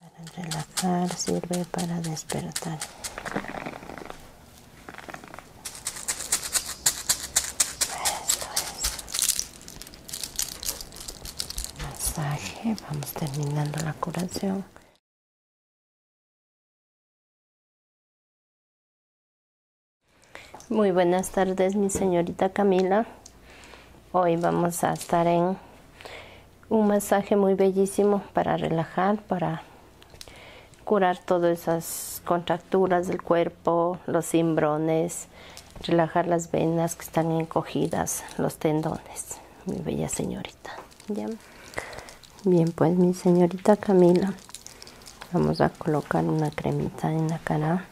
Para relajar, sirve para despertar. Esto es masaje. Vamos terminando la curación. Muy buenas tardes, mi señorita Camila. Hoy vamos a estar en un masaje muy bellísimo para relajar, para curar todas esas contracturas del cuerpo, los cimbrones, relajar las venas que están encogidas, los tendones, mi bella señorita. Bien, pues mi señorita Camila, vamos a colocar una cremita en la cara.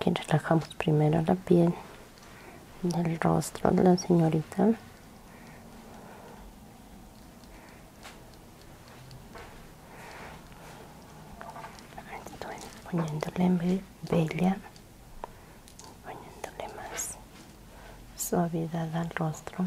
Aquí relajamos primero la piel del rostro de la señorita estoy poniéndole bella poniéndole más suavidad al rostro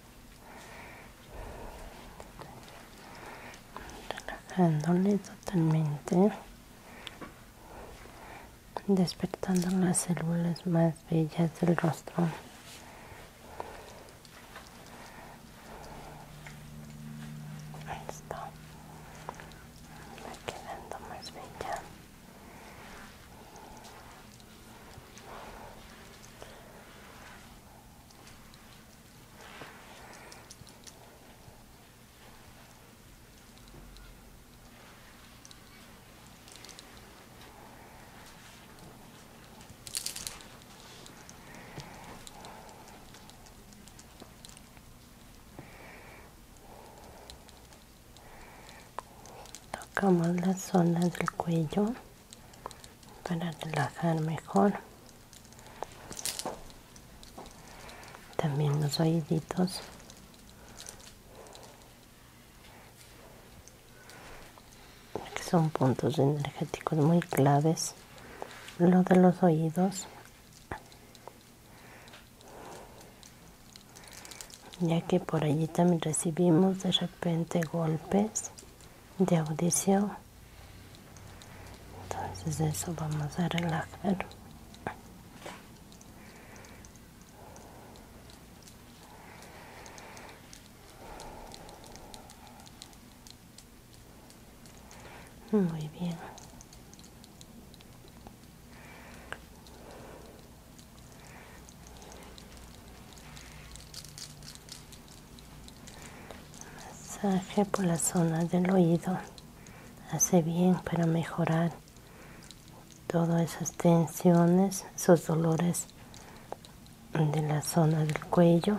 relajándole totalmente despertando las células más bellas del rostro quedando más bella Tocamos la zona del cuello para relajar mejor también los oíditos que son puntos energéticos muy claves lo de los oídos ya que por allí también recibimos de repente golpes de audición. Entonces eso vamos a relajar. Muy bien. Masaje por la zona del oído hace bien para mejorar todas esas tensiones, esos dolores de la zona del cuello.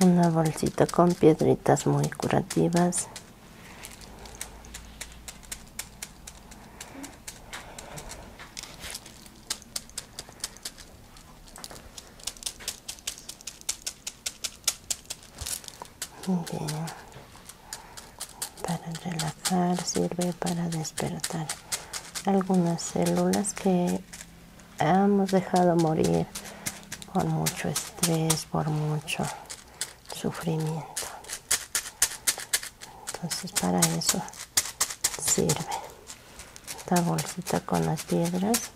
una bolsita con piedritas muy curativas Para relajar sirve para despertar algunas células que hemos dejado morir por mucho estrés, por mucho sufrimiento. Entonces para eso sirve esta bolsita con las piedras.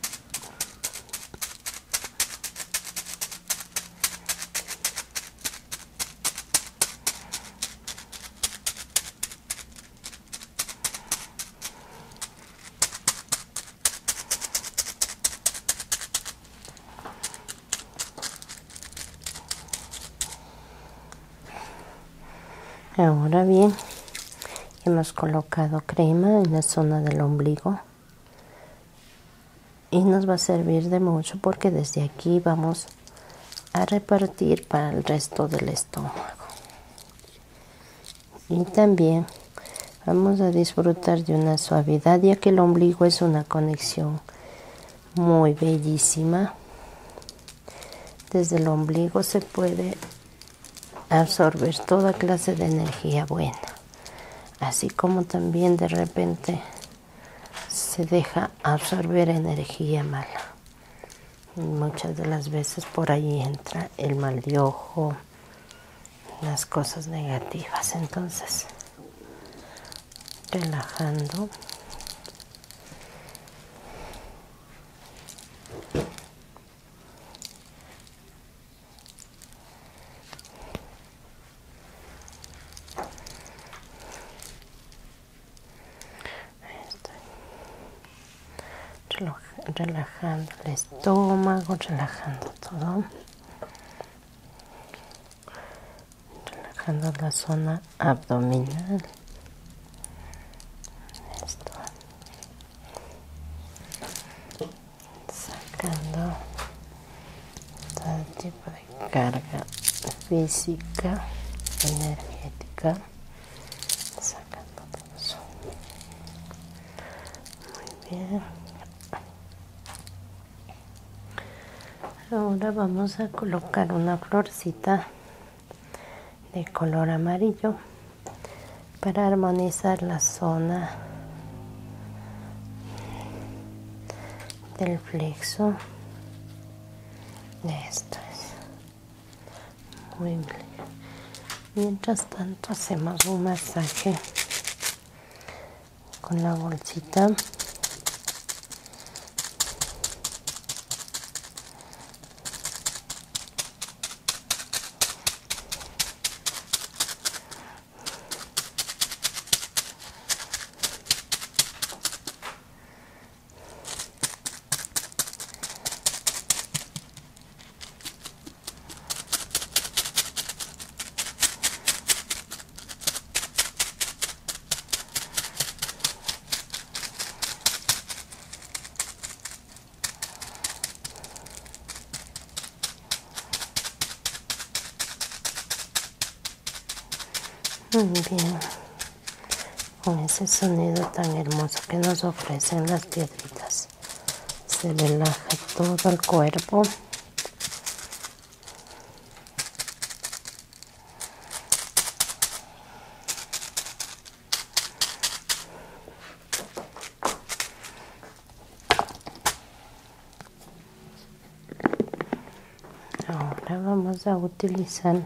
Ahora bien, hemos colocado crema en la zona del ombligo y nos va a servir de mucho porque desde aquí vamos a repartir para el resto del estómago y también vamos a disfrutar de una suavidad, ya que el ombligo es una conexión muy bellísima. Desde el ombligo se puede absorber toda clase de energía buena, así como también de repente se deja absorber energía mala. muchas de las veces por ahí entra el mal de ojo, las cosas negativas entonces relajando relajando estómago, relajando todo, relajando la zona abdominal. Esto. Sacando todo tipo de carga física, energética, sacando todo eso muy bien ahora vamos a colocar una florcita de color amarillo para armonizar la zona del flexo esto es muy bien mientras tanto hacemos un masaje con la bolsita muy bien, con ese sonido tan hermoso que nos ofrecen las piedritas se relaja todo el cuerpo. Ahora vamos a utilizar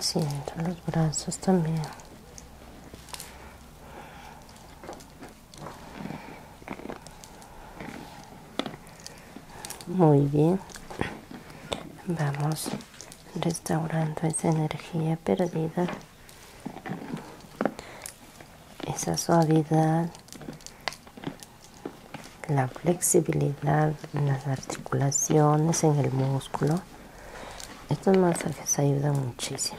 Siento los brazos también. Muy bien. Vamos restaurando esa energía perdida. Esa suavidad. La flexibilidad en las articulaciones, en el músculo. Estos masajes ayudan muchísimo.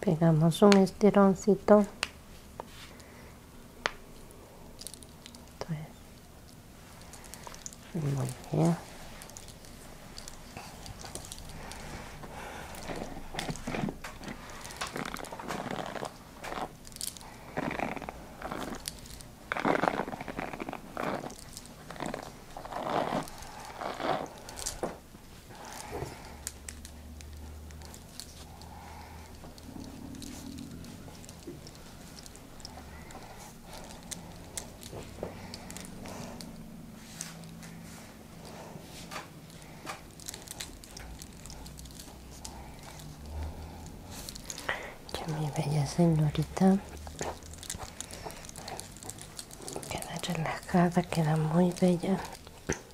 pegamos un estironcito muy bien ya mi bella señorita queda relajada, queda muy bella.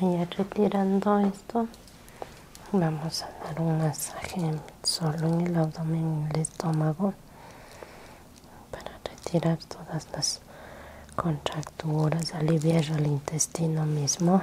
Ahora ya retirando esto, vamos a dar un masaje solo en el abdomen y el estómago para retirar todas las contracturas, aliviar el intestino mismo.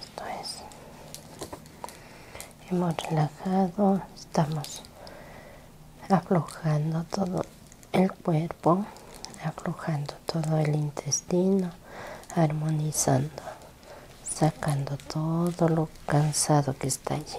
Esto es. Hemos relajado, estamos aflojando todo el cuerpo, aflojando todo el intestino, armonizando, sacando todo lo cansado que está allí.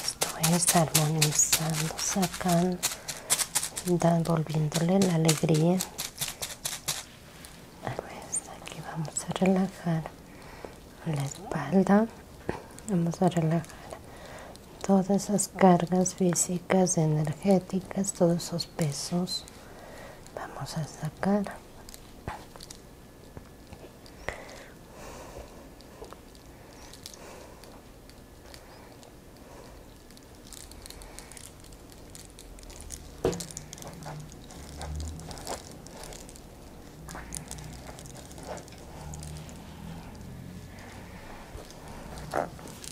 Esto pues es armonizando, sacando, dando, la alegría. Aquí vamos a relajar la espalda. Vamos a relajar todas esas cargas físicas, energéticas, todos esos pesos, vamos a sacar.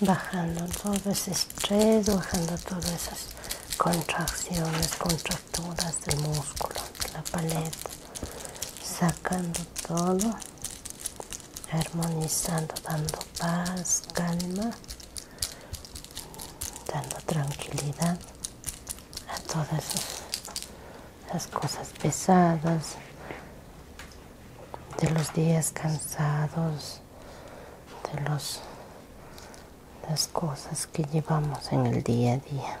bajando todo ese estrés, bajando todas esas contracciones, contracturas del músculo, de la paleta, sacando todo armonizando, dando paz, calma, dando tranquilidad a todas las cosas pesadas de los días cansados, de los, las cosas que llevamos en el día a día.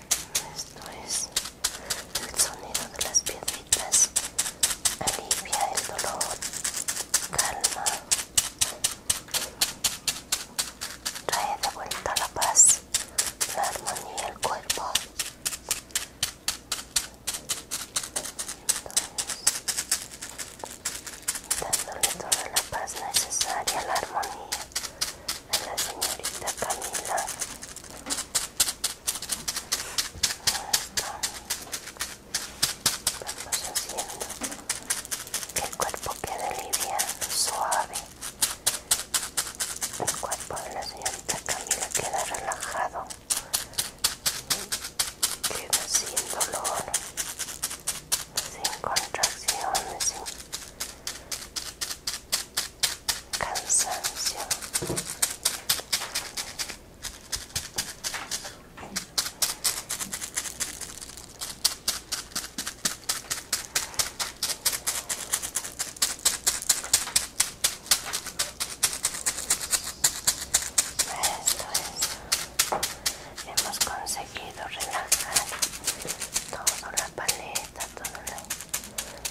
Esto es el sonido de las piedritas. Alivia el dolor, calma, trae de vuelta la paz, la armonía al cuerpo. dándole toda la paz necesaria, la armonía a la señorita Camila. haciendo que el cuerpo quede liviano, suave. El cuerpo de la señorita Camila queda relajado. Queda sin dolor, sin contracciones, sin cansancio esto es hemos conseguido relajar toda la paleta toda la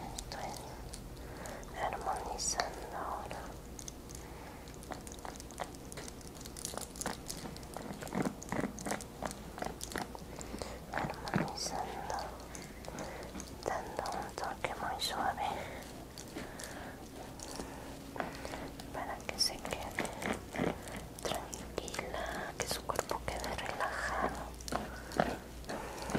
estoy armonizando ahora armonizando dando un toque muy suave para que se quede tranquila, que su cuerpo quede relajado. muy suave.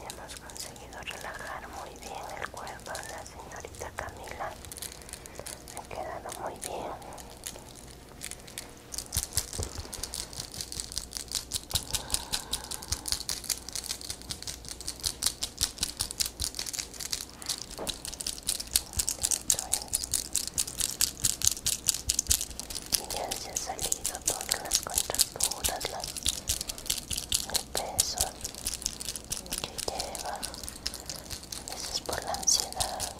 Hemos conseguido relajar muy bien el cuerpo de la señorita Camila. Ha quedado muy bien. ¿eh? Y ya se han salido todas las contracciones puras las, el peso que lleva, a veces por la ansiedad,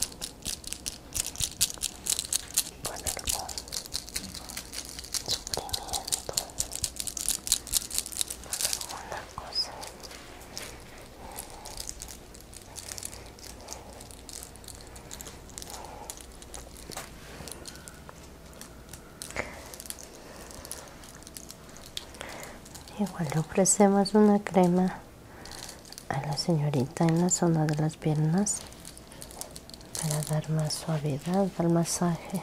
por algún sufrimiento, por alguna cosa. Igual le ofrecemos una crema a la señorita en la zona de las piernas para dar más suavidad al masaje.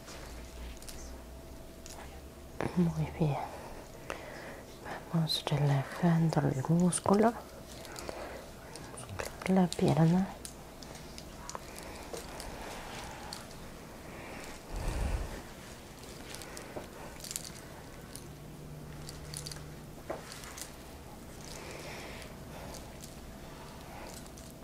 Muy bien. Vamos relajando el músculo, la pierna.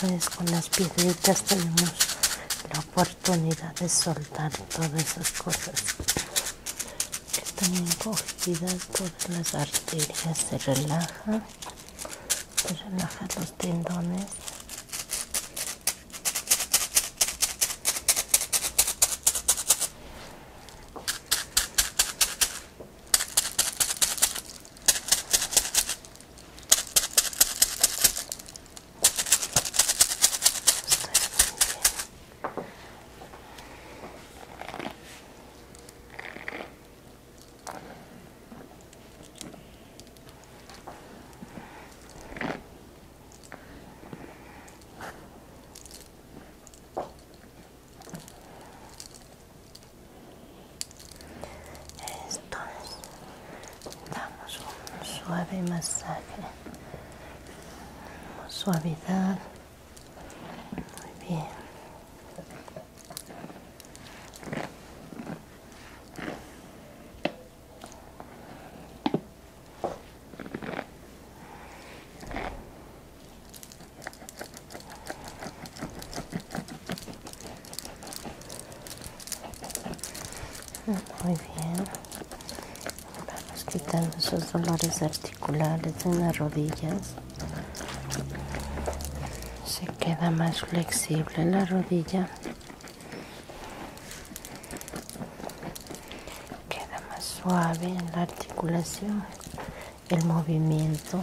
Pues con las piedritas tenemos la oportunidad de soltar todas esas cosas que están encogidas, todas las arterias se relajan espalda, pues te relajas los tendones. Esto damos un suave masaje, suavidad, muy bien. Muy bien. Vamos quitando esos dolores articulares en las rodillas. Se queda más flexible la rodilla queda más suave en la articulación el movimiento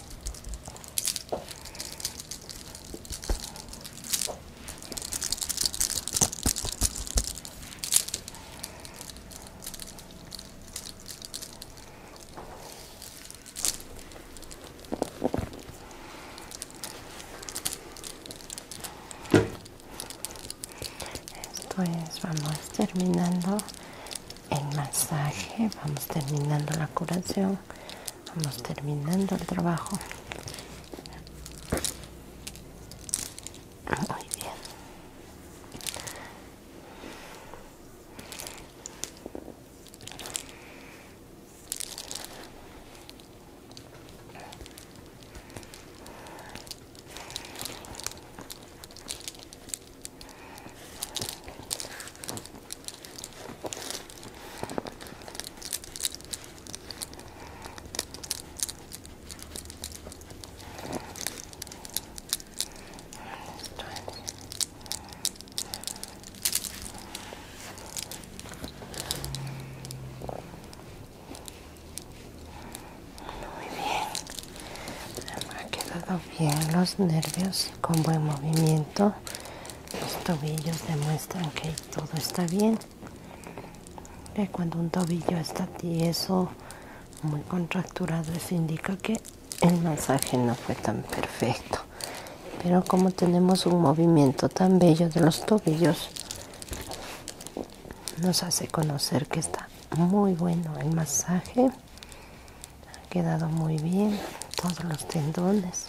Pues vamos terminando el masaje, vamos terminando la curación Vamos terminando el trabajo. Muy bien, ha quedado bien los nervios con buen movimiento los tobillos demuestran que todo está bien. cuando un tobillo está tieso, muy contracturado, eso indica que el masaje no fue tan perfecto. Pero como tenemos un movimiento tan bello de los tobillos, nos hace conocer que está muy bueno el masaje. Ha quedado muy bien todos los tendones.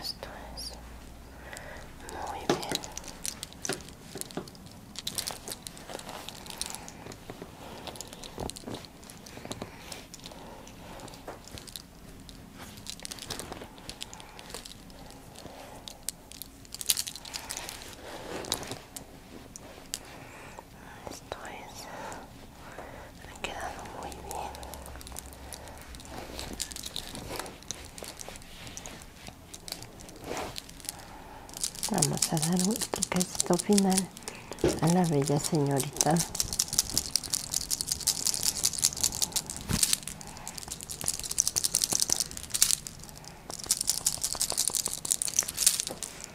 Esto es muy bien. Esto es, me ha quedado muy bien. Vamos a dar un poquito final a la bella señorita.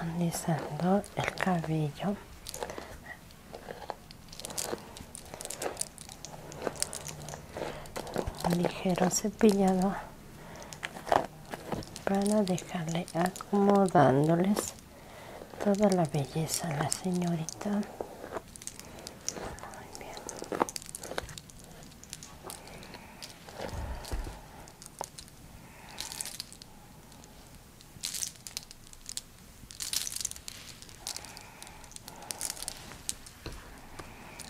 armonizando el cabello un ligero cepillado para dejarle acomodándoles toda la belleza a la señorita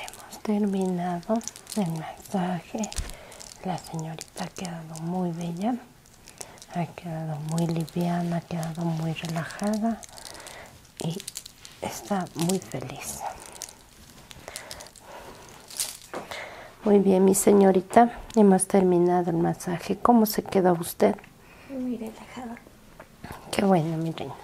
hemos terminado el masaje la señorita ha quedado muy bella ha quedado muy liviana ha quedado muy relajada y está muy feliz muy bien mi señorita hemos terminado el masaje cómo se quedó usted muy relajada qué bueno mi reina